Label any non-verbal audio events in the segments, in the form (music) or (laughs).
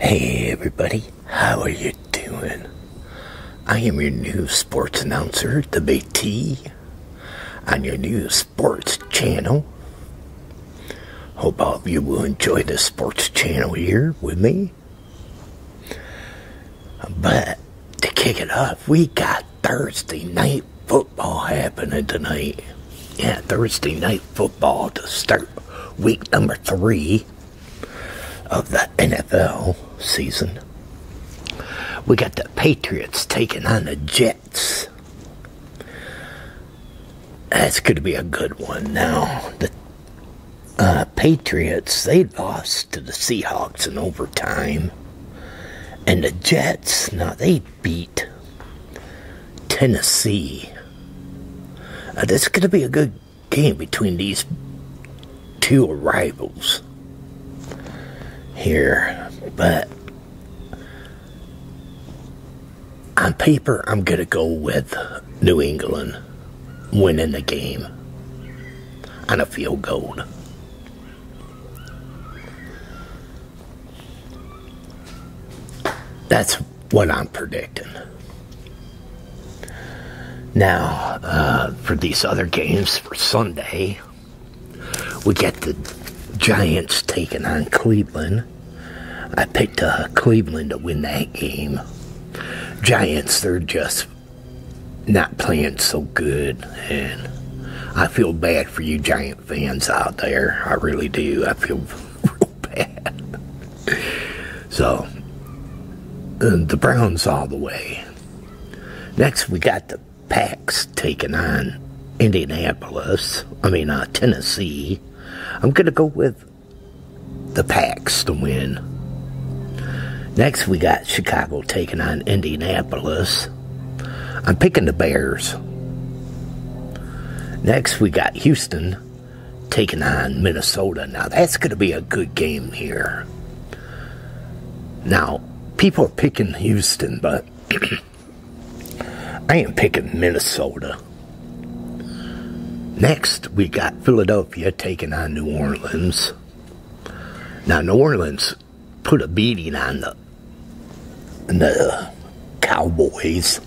Hey everybody, how are you doing? I am your new sports announcer, Debate T, on your new sports channel. Hope all of you will enjoy the sports channel here with me. But to kick it off, we got Thursday night football football happening tonight. Yeah, Thursday night football to start week number three of the NFL season. We got the Patriots taking on the Jets. That's going to be a good one. Now, the uh, Patriots, they lost to the Seahawks in overtime. And the Jets, now they beat Tennessee. Uh, that's going to be a good game between these two rivals here, but on paper, I'm going to go with New England winning the game on a field goal. That's what I'm predicting. Now, uh, for these other games for Sunday, we get the Giants taking on Cleveland. I picked uh, Cleveland to win that game. Giants, they're just not playing so good, and I feel bad for you, Giants. Fans out there. I really do. I feel (laughs) real bad. So, the Browns all the way. Next, we got the Packs taking on Indianapolis. I mean, uh, Tennessee. I'm going to go with the Packs to win. Next, we got Chicago taking on Indianapolis. I'm picking the Bears. Next, we got Houston taking on Minnesota. Now, that's going to be a good game here. Now, people are picking Houston, but (clears throat) I ain't picking Minnesota. Next, we got Philadelphia taking on New Orleans. Now, New Orleans put a beating on them the Cowboys.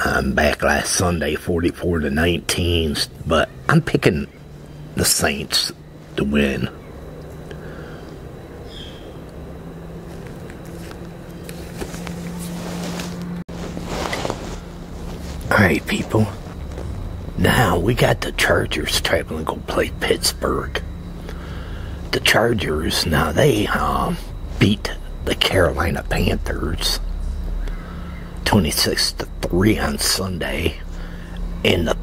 I'm back last Sunday, 44 to 19, but I'm picking the Saints to win. Alright, people. Now we got the Chargers traveling to play Pittsburgh the Chargers. Now they um, beat the Carolina Panthers 26 to 3 on Sunday. And the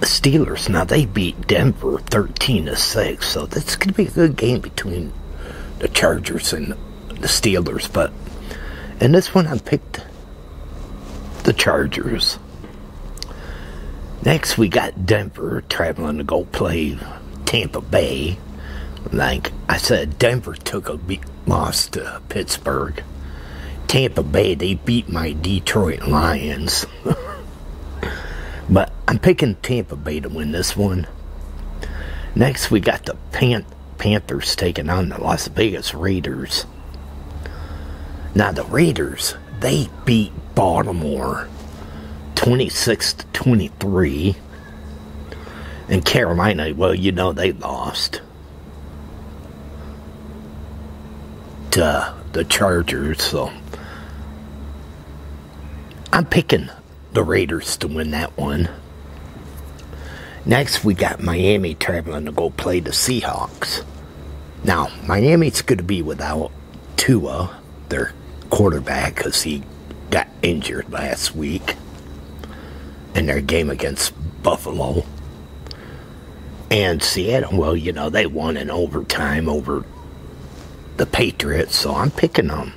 Steelers, now they beat Denver 13 to 6. So that's going to be a good game between the Chargers and the Steelers. But in this one, I picked the Chargers. Next, we got Denver traveling to go play Tampa Bay, like I said, Denver took a beat, loss to Pittsburgh. Tampa Bay, they beat my Detroit Lions. (laughs) but I'm picking Tampa Bay to win this one. Next, we got the Pan- Panthers taking on the Las Vegas Raiders. Now, the Raiders, they beat Baltimore 26 to 23. And Carolina, well, you know they lost to the Chargers, so I'm picking the Raiders to win that one. Next, we got Miami traveling to go play the Seahawks. Now, Miami's going to be without Tua their quarterback because he got injured last week in their game against Buffalo. And Seattle, well, you know, they won in overtime over the Patriots, so I'm picking them, um,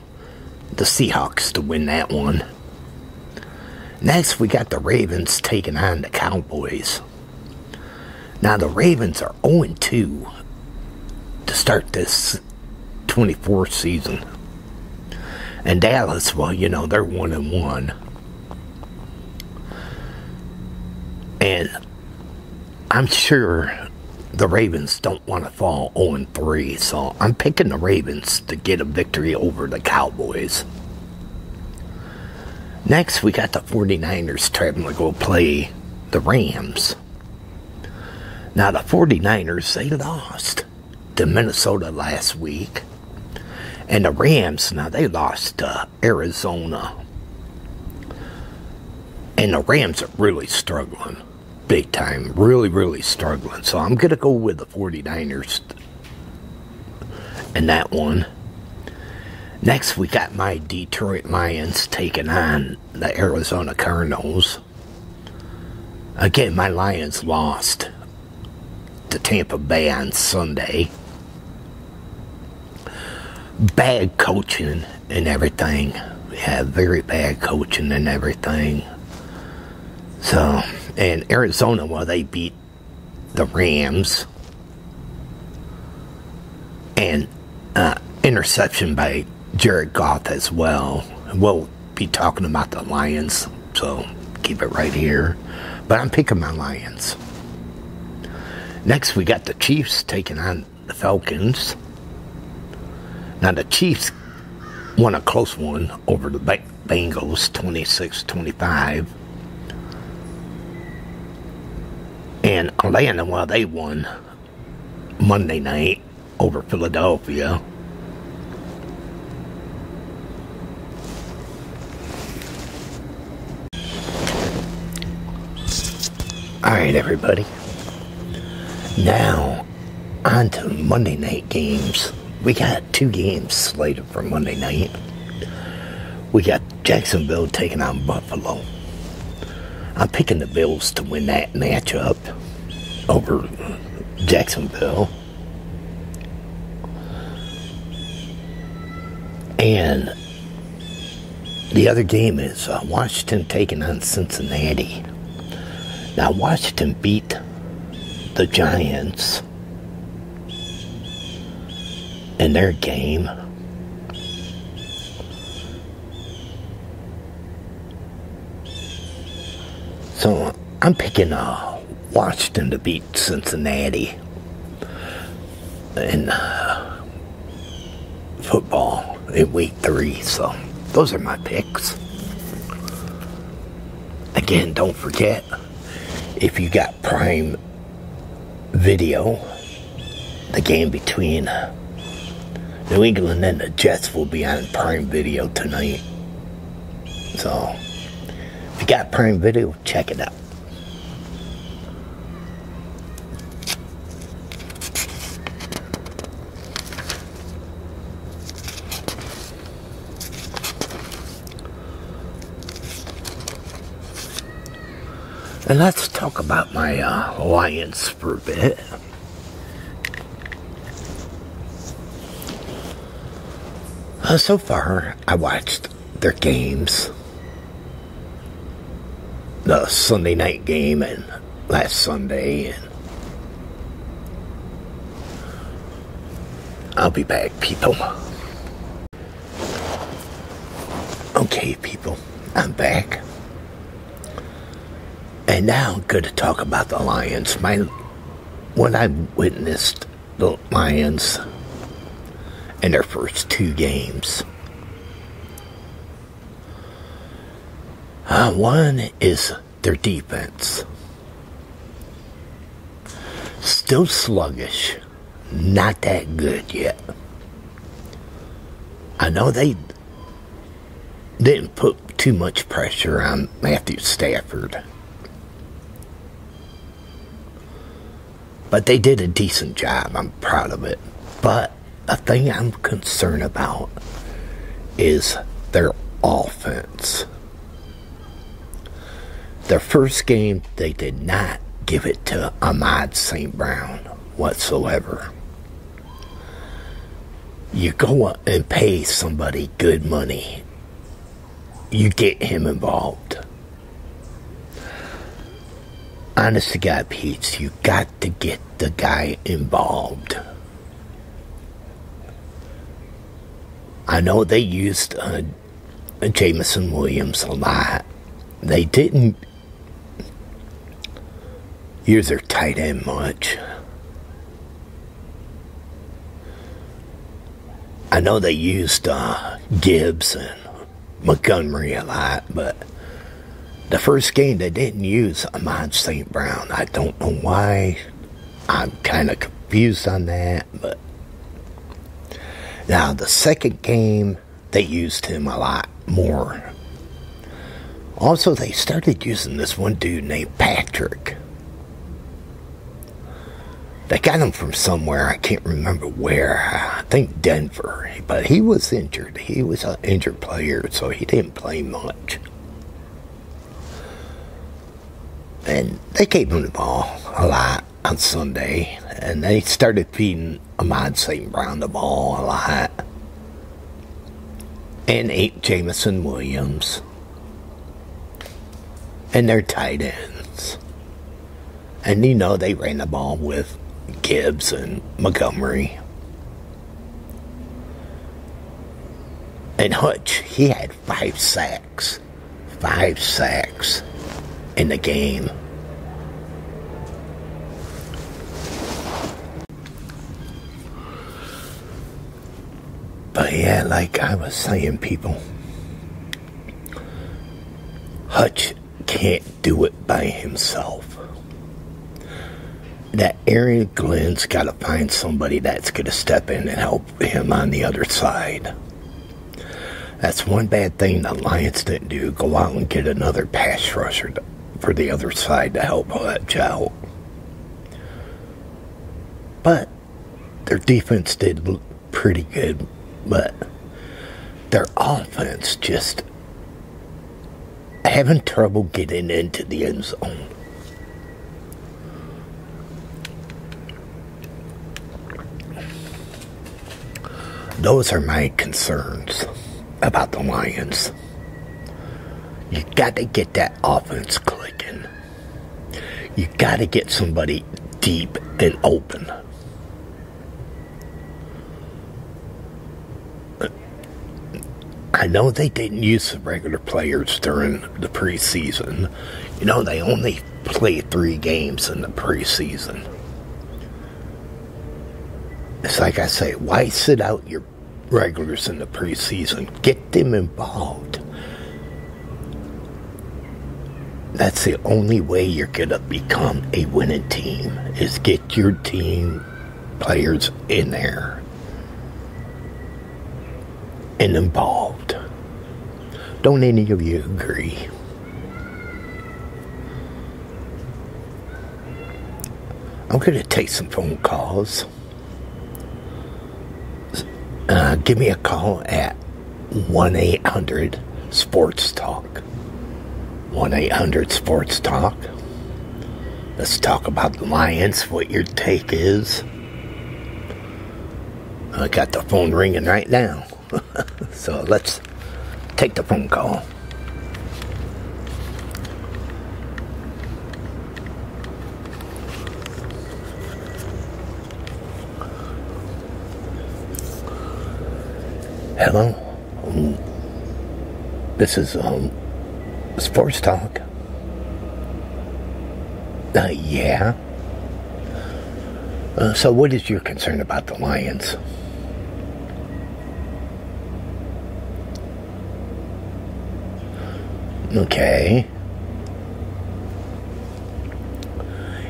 the Seahawks, to win that one. Next, we got the Ravens taking on the Cowboys. Now the Ravens are 0-2 to start this 24th season. And Dallas, well, you know, they're 1-1. and one. And I'm sure the Ravens don't want to fall 0-3, so I'm picking the Ravens to get a victory over the Cowboys. Next, we got the 49ers traveling to go play the Rams. Now, the 49ers, they lost to Minnesota last week. And the Rams, now they lost to Arizona. And the Rams are really struggling. Big time. Really, really struggling. So I'm going to go with the 49ers and that one. Next, we got my Detroit Lions taking on the Arizona Cardinals. Again, my Lions lost to Tampa Bay on Sunday. Bad coaching and everything. We Yeah, very bad coaching and everything. So, in Arizona, well, they beat the Rams. And uh, interception by Jared Goff as well. We'll be talking about the Lions, so keep it right here. But I'm picking my Lions. Next, we got the Chiefs taking on the Falcons. Now, the Chiefs won a close one over the Bengals 26 25. And Atlanta, While they won Monday night over Philadelphia. All right, everybody. Now, onto Monday night games. We got two games slated for Monday night. We got Jacksonville taking on Buffalo. I'm picking the Bills to win that matchup over Jacksonville. And the other game is uh, Washington taking on Cincinnati. Now, Washington beat the Giants in their game. So I'm picking uh, Washington to beat Cincinnati in uh, football in week three. So those are my picks. Again, don't forget if you got Prime Video the game between uh, New England and the Jets will be on Prime Video tonight. So, if you got Prime Video, check it out. And let's talk about my uh, for a bit. Uh, so far, I watched their games. The Sunday night game and last Sunday. And I'll be back, people. Okay, people, I'm back. And now I'm going to talk about the Lions. My, what I witnessed the Lions in their first two games. Uh, one is their defense. Still sluggish. Not that good yet. I know they didn't put too much pressure on Matthew Stafford. But they did a decent job. I'm proud of it. But a thing I'm concerned about is their offense. Their first game, they did not give it to Ahmad St. Brown whatsoever. You go up and pay somebody good money, you get him involved. Honest to God, Pete, you got to get the guy involved. I know they used uh, Jamison Williams a lot. They didn't you're their tight end, much. I know they used uh, Gibson, Montgomery a lot, but the first game they didn't use Ahmad St. Brown. I don't know why. I'm kind of confused on that, but now the second game they used him a lot more. Also, they started using this one dude named Patrick. They got him from somewhere, I can't remember where. I think Denver. But he was injured. He was an injured player, so he didn't play much. And they kept him the ball a lot on Sunday, and they started feeding a I might see the ball a lot. And eight Jamison Williams. And their tight ends. And you know they ran the ball with Gibbs and Montgomery. And Hutch, he had five sacks. Five sacks in the game. But yeah, like I was saying, people, Hutch can't do it by himself. That Aaron Glenn's got to find somebody that's going to step in and help him on the other side. That's one bad thing the Lions didn't do. Go out and get another pass rusher for the other side to help that out. But their defense did look pretty good, but their offense just having trouble getting into the end zone. Those are my concerns about the Lions. You got to get that offense clicking. You got to get somebody deep and open. I know they didn't use the regular players during the preseason. You know, they only play three games in the preseason. It's like I say, why sit out your regulars in the preseason. Get them involved. That's the only way you're going to become a winning team is get your team players in there and involved. Don't any of you agree? I'm going to take some phone calls. Uh, give me a call at 1 800 Sports Talk. 1 800 Sports Talk. Let's talk about the Lions, what your take is. I got the phone ringing right now. (laughs) so let's take the phone call. Hello. Um, this is um, sports talk. Uh, yeah. Uh, so, what is your concern about the Lions? Okay.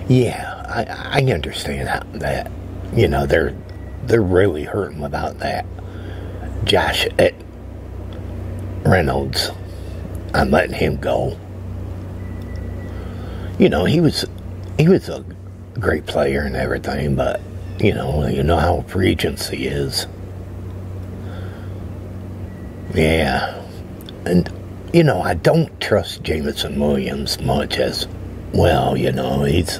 Yeah, I, I understand that. You know, they're they're really hurting about that. Josh eh, Reynolds, I'm letting him go. You know, he was he was a great player and everything, but you know, you know how Regency is. Yeah. And, you know, I don't trust Jameson Williams much as, well, you know, he's.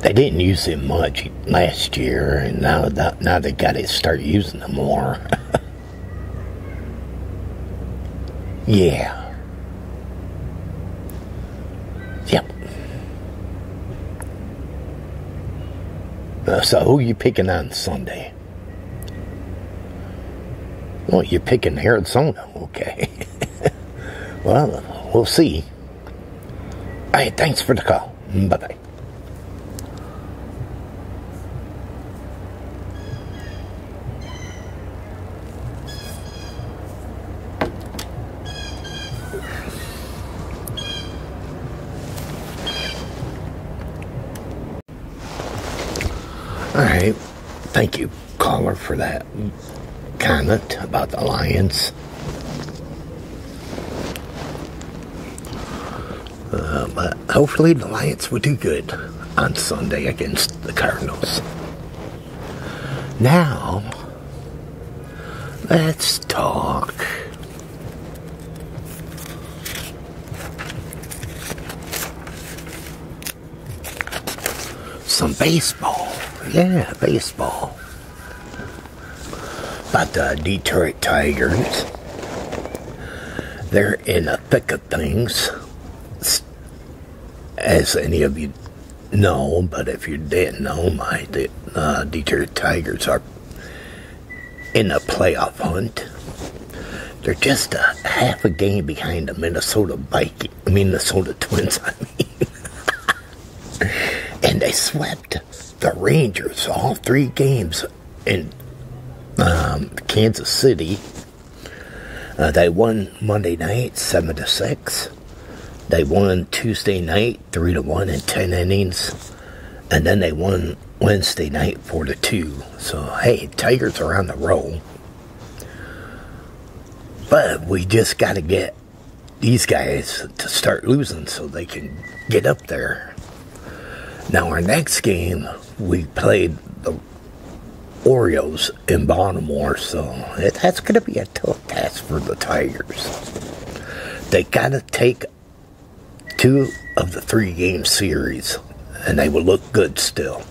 They didn't use him much last year, and now, that, now they got to start using him more. (laughs) yeah. Yep. Uh, so who you picking on Sunday? Well, you're picking Arizona, okay. (laughs) well, we'll see. Hey, thanks for the call. Bye bye. All right. Thank you, caller, for that comment about the Lions. Uh, but hopefully the Lions will do good on Sunday against the Cardinals. Now, let's talk. Some baseball. Yeah, baseball. About the Detroit Tigers. They're in the thick of things, as any of you no, but if you didn't know, my uh, Detroit Tigers are in the playoff hunt. They're just a half a game behind the Minnesota Viking, Minnesota Twins. (laughs) I mean, and they swept the Rangers all three games in um, Kansas City. Uh, they won Monday night, seven to six. They won Tuesday night three to one in ten innings, and then they won Wednesday night four to two. So hey, Tigers are on the roll. But we just got to get these guys to start losing so they can get up there. Now, our next game, we played the Orioles in Baltimore, so that's going to be a tough that's for the Tigers. They got to take two of the three game series, and they will look good still.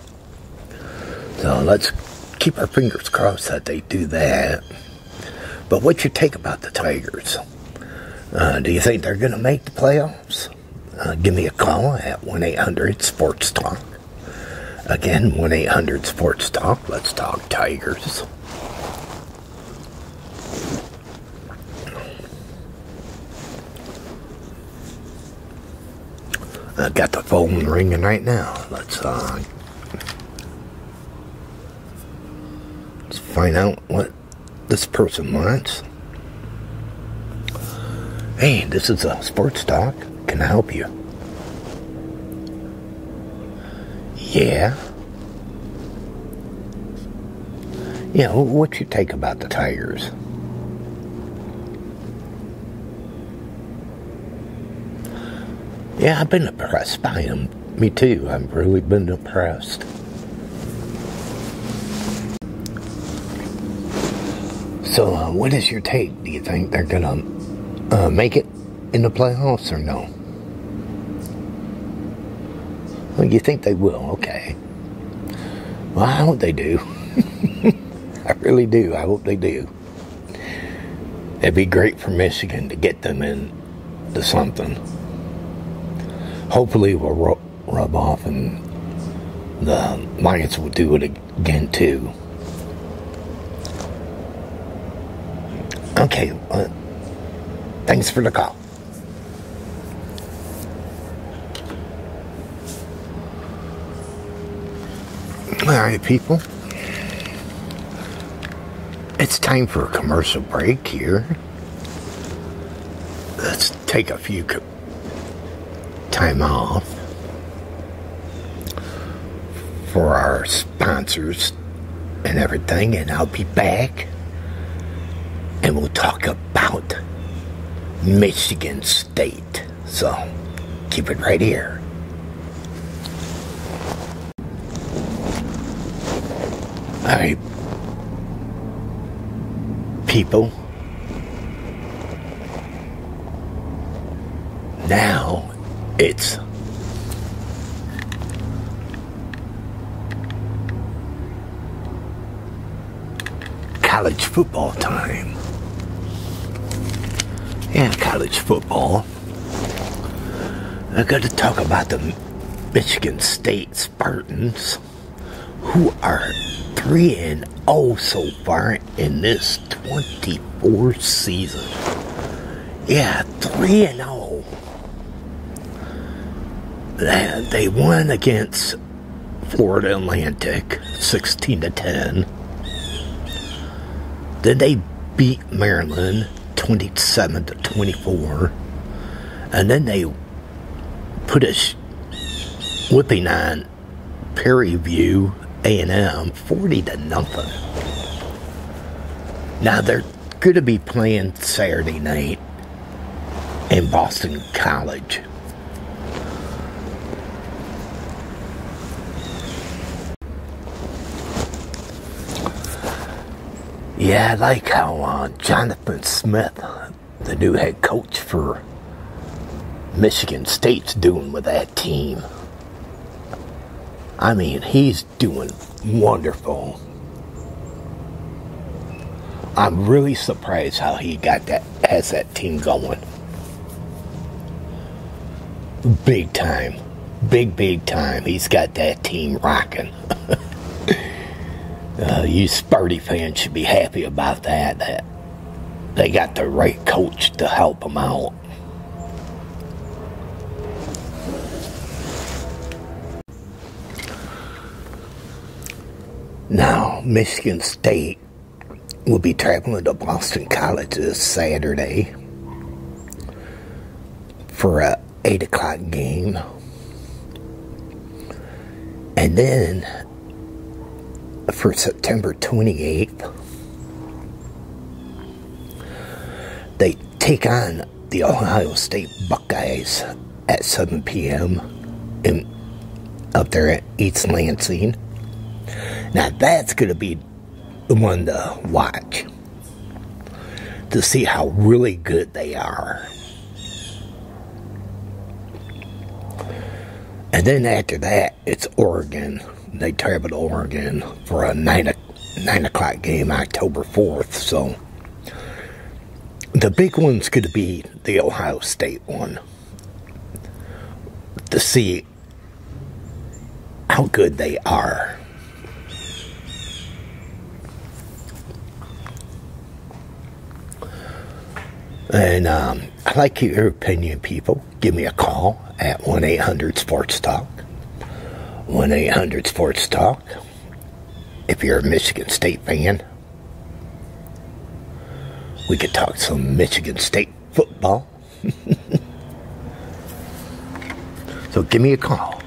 So let's keep our fingers crossed that they do that. But what you think about the Tigers? Uh, do you think they're going to make the playoffs? Uh, give me a call at 1 800 Sports Talk. Again, 1 800 Sports Talk. Let's talk Tigers. I got the phone ringing right now. Let's uh, let's find out what this person wants. Hey, this is a uh, sports talk. Can I help you? Yeah. Yeah, what's your take about the Tigers? Yeah, I've been impressed by them. Me too. I've really been impressed. So, uh, what is your take? Do you think they're going to uh, make it? in the playoffs or no? you think they will, okay. Well, I hope they do. (laughs) I really do. I hope they do. It'd be great for Michigan to get them into something. Hopefully, it will rub off and the Lions will do it again, too. Okay. Uh, thanks for the call. All right, people. It's time for a commercial break here. Let's take a few time off for our sponsors and everything, and I'll be back and we'll talk about Michigan State. So keep it right here. All right, people. Now, it's college football time. and college football. I got to talk about the Michigan State Spartans, who are 3 and 0 so far in this twenty-fourth season. Yeah, 3 and 0. They won against Florida Atlantic 16 to 10. Then they beat Maryland 27 to 24. And then they put a whipping on Perryview A&M 40 to nothing. Now they're going to be playing Saturday night in Boston College. Yeah, I like how uh, Jonathan Smith, the new head coach for Michigan State's doing with that team. I mean, he's is doing wonderful. I'm really surprised how he got that has that team going. Big time. Big big time. He's got that team rocking. (laughs) Uh, you Spurdy fans should be happy about that. That they got the right coach to help them out. Now, Michigan State will be traveling to Boston College this Saturday for a 8 o'clock game. And then for September 28th, they take on the Ohio State Buckeyes at 7 p.m. up there at East Lansing. Now that's going to be the one to watch to see how really good they are. And then after that, it's Oregon. They travel to Oregon for a nine 9 o'clock game October 4th. So the big one's going to be the Ohio State one to see how good they are. And um, I'd like your opinion, people. Give me a call at 1 800 Sports Talk. 1 800 Sports Talk. If you're a Michigan State fan, we could talk some Michigan State football. (laughs) so give me a call.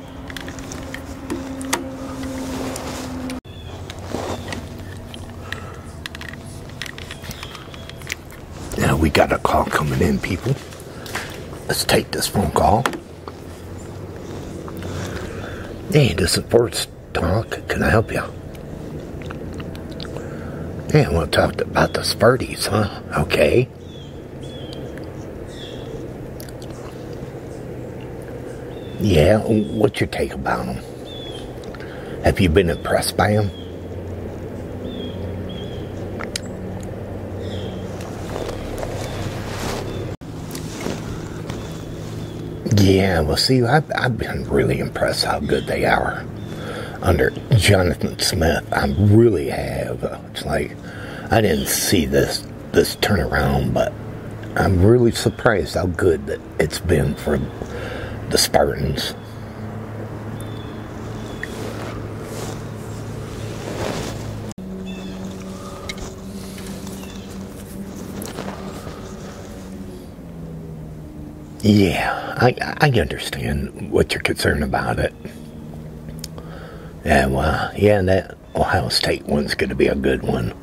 Now we got a call coming in, people. Let's take this phone call. Hey, this is Ford Talk. Can I help you? Yeah, we'll talk about the Sparties, huh? Okay. Yeah, what's your take about them? Have you been impressed by them? Yeah, well, see, I've, I've been really impressed how good they are under Jonathan Smith. I really have. It's like I didn't see this this turnaround, but I'm really surprised how good that it's been for the Spartans. Yeah, I, I understand what you're concerned about it. And, uh, yeah, that Ohio State one's going to be a good one.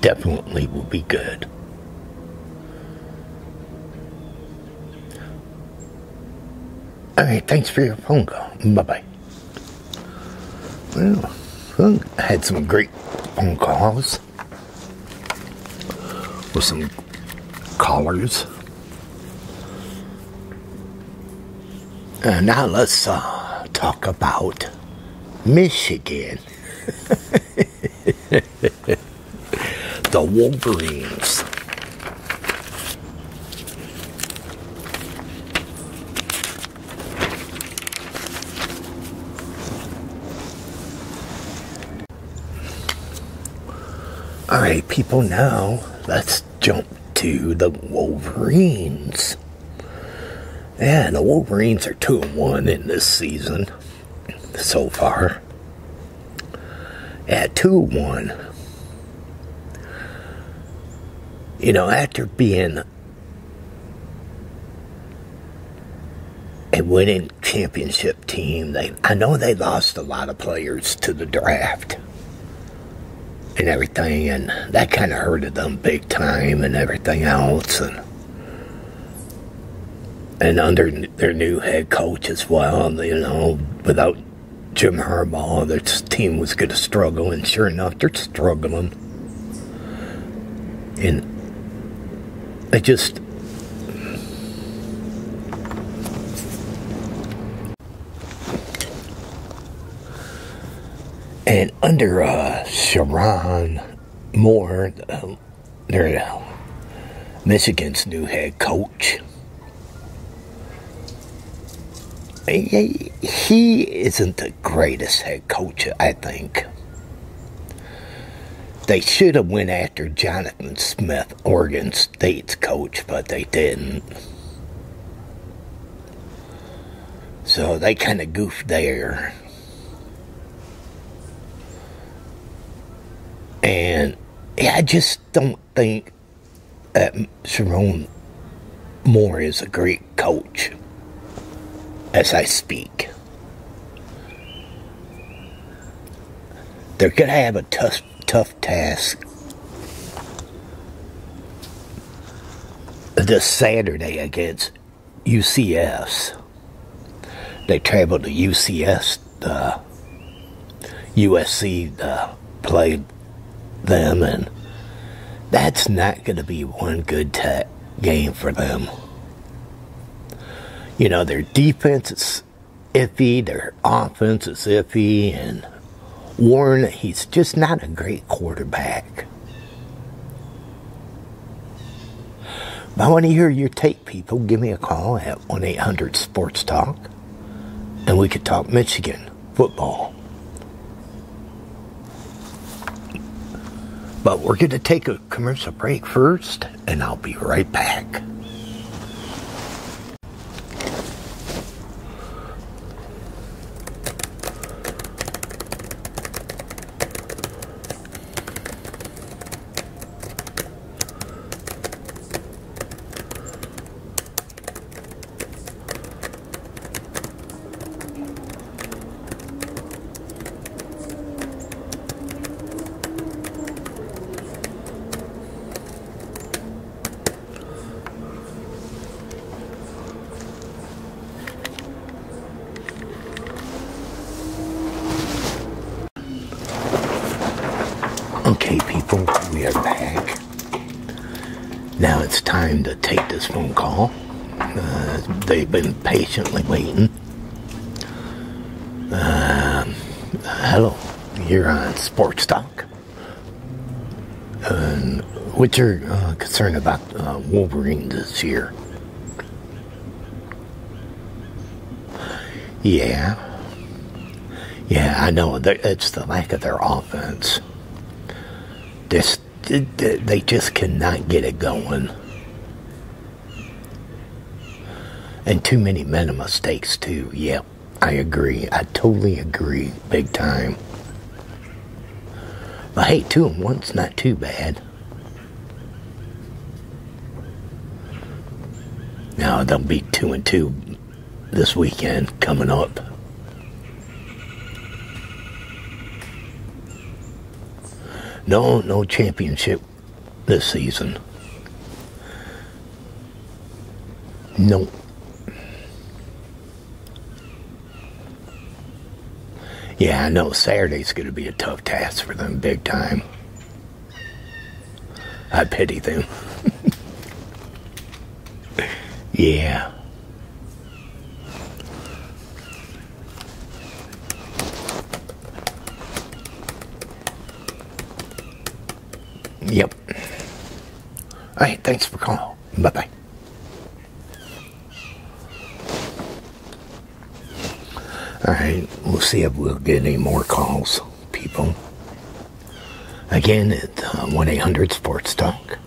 Definitely will be good. All right, thanks for your phone call. Bye bye. Well, I had some great phone calls with some callers. now let's uh, talk about Michigan. (laughs) the Wolverines. All right, people, now let's jump to the Wolverines. Yeah, the Wolverines are 2 and 1 in this season so far. At 2 1, you know, after being a winning championship team, they I know they lost a lot of players to the draft and everything, and that kind of hurted them big time and everything else, and and under their new head coach as well, you know, without Jim Harbaugh that his team was going to struggle, and sure enough, they're struggling. And I just. And under uh, Sharon Moore, um, their uh, Michigan's new head coach, he, isn't the greatest head coach, I think. They should have went after Jonathan Smith, Oregon State's coach, but they didn't. So they kind of goofed there. And I just don't think that Sharon Moore is a great coach as I speak. They're going to have a tough, tough task this Saturday against UCS. They travel to UCS uh, USC uh, played them, and that's not going to be one good game for them. You know, their defense is iffy, their offense is iffy, and Warren, he's just not a great quarterback. I want to hear your take, people. Give me a call at 1 800 Sports Talk, and we could talk Michigan football. But we're going to take a commercial break first, and I'll be right back. Okay, people, we are back. Now it's time to take this phone call. Uh, they've been patiently waiting. Uh, hello, you're on Sports Talk. what's your uh, concern about Wolverine this year? Yeah. Yeah, I know. It's the lack of their offense offense. Just, they just cannot get it going. And too many meta mistakes, too. Yep, I agree. I totally agree. Big time. I hate two and one. It's not too bad. Now they'll be two and two this weekend coming up. No, no championship this season. No. Yeah, I know Saturday's going to be a tough task for them big time. I pity them. (laughs) Yeah. Yep. All right, thanks for calling. Bye bye. All right, we'll see if we'll get any more calls, people. Again, at uh, 1 800 Sports Talk.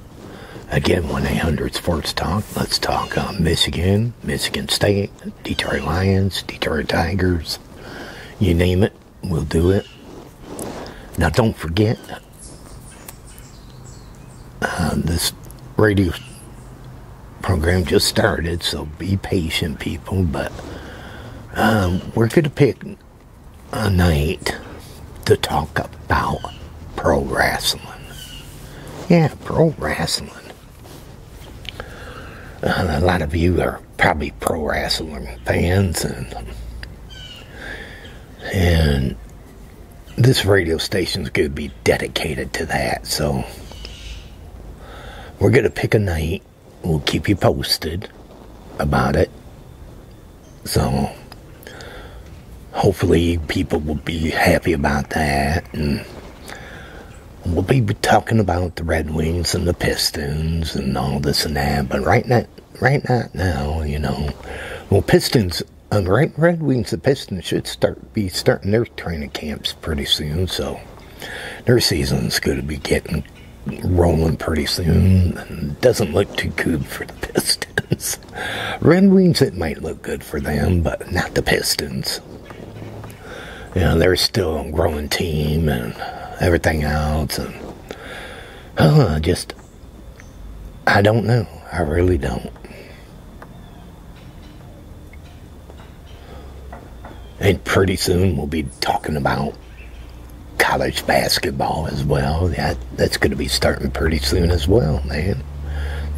Again, 1 eight hundred Sports Talk. Let's talk uh, Michigan, Michigan State, Detroit Lions, Detroit Tigers. You name it, we'll do it. Now, don't forget uh, this radio program just started, so be patient, people. But um, we're going to pick a night to talk about pro wrestling. Yeah, pro wrestling. Uh, a lot of you are probably pro wrestling fans, and and this radio station is going to be dedicated to that. So we're going to pick a night. We'll keep you posted about it. So hopefully people will be happy about that and we'll be talking about the Red Wings and the Pistons and all this and that, but right now right now, you know. Well Pistons and right Red Wings and Pistons should start be starting their training camps pretty soon, so their season's gonna be getting rolling pretty soon. Doesn't look too good for the Pistons. Red Wings, it might look good for them, but not the Pistons. You know, they're still a growing team and everything else. And, oh, just, I don't know. I really don't. And pretty soon we'll be talking about college basketball as well. that's going to be starting pretty soon as well, man.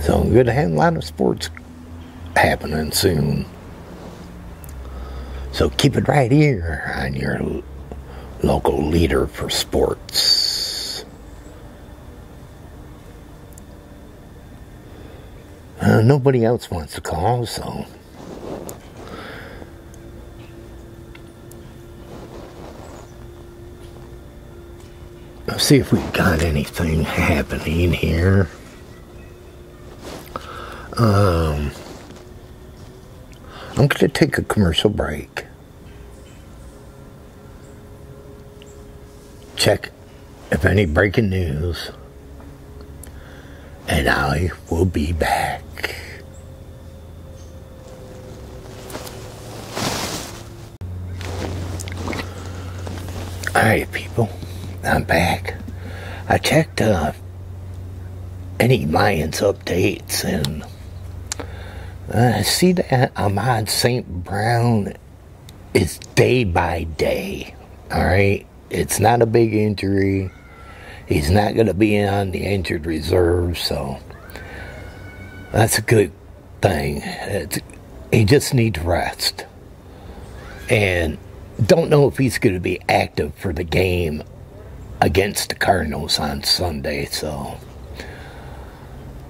So we're going to have a lot of sports happening soon. So keep it right here on your local leader for sports. Uh, nobody else wants to call, so Let's see if we've got anything happening here. Um, I'm going to take a commercial break. Check if any breaking news. And I will be back. Alright people, I'm back. I checked uh, any Lions updates and I uh, see that Ahmad St. Brown is day by day. Alright? It's not a big injury. He's not going to be on the injured reserve, so that's a good thing. he just needs rest. And don't know if he's going to be active for the game against the Cardinals on Sunday. So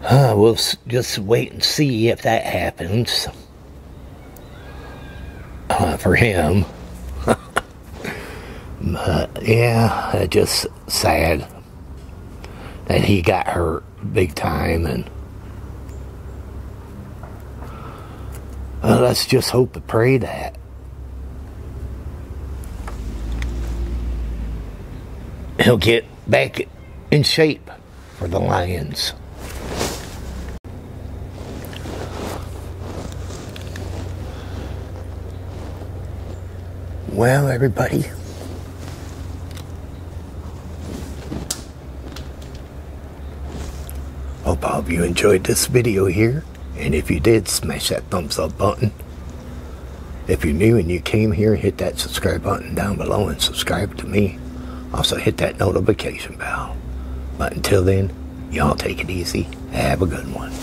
uh, we'll just wait and see if that happens uh, for him. (laughs) but yeah, just sad. And he got hurt big time. And let's just hope and pray that. He'll get back in shape for the Lions. Well, everybody, hope all of you enjoyed this video here. And if you did, smash that thumbs up button. If you're new and you came here, hit that subscribe button down below and subscribe to me. Also hit that notification bell. But until then, y'all take it easy. Have a good one.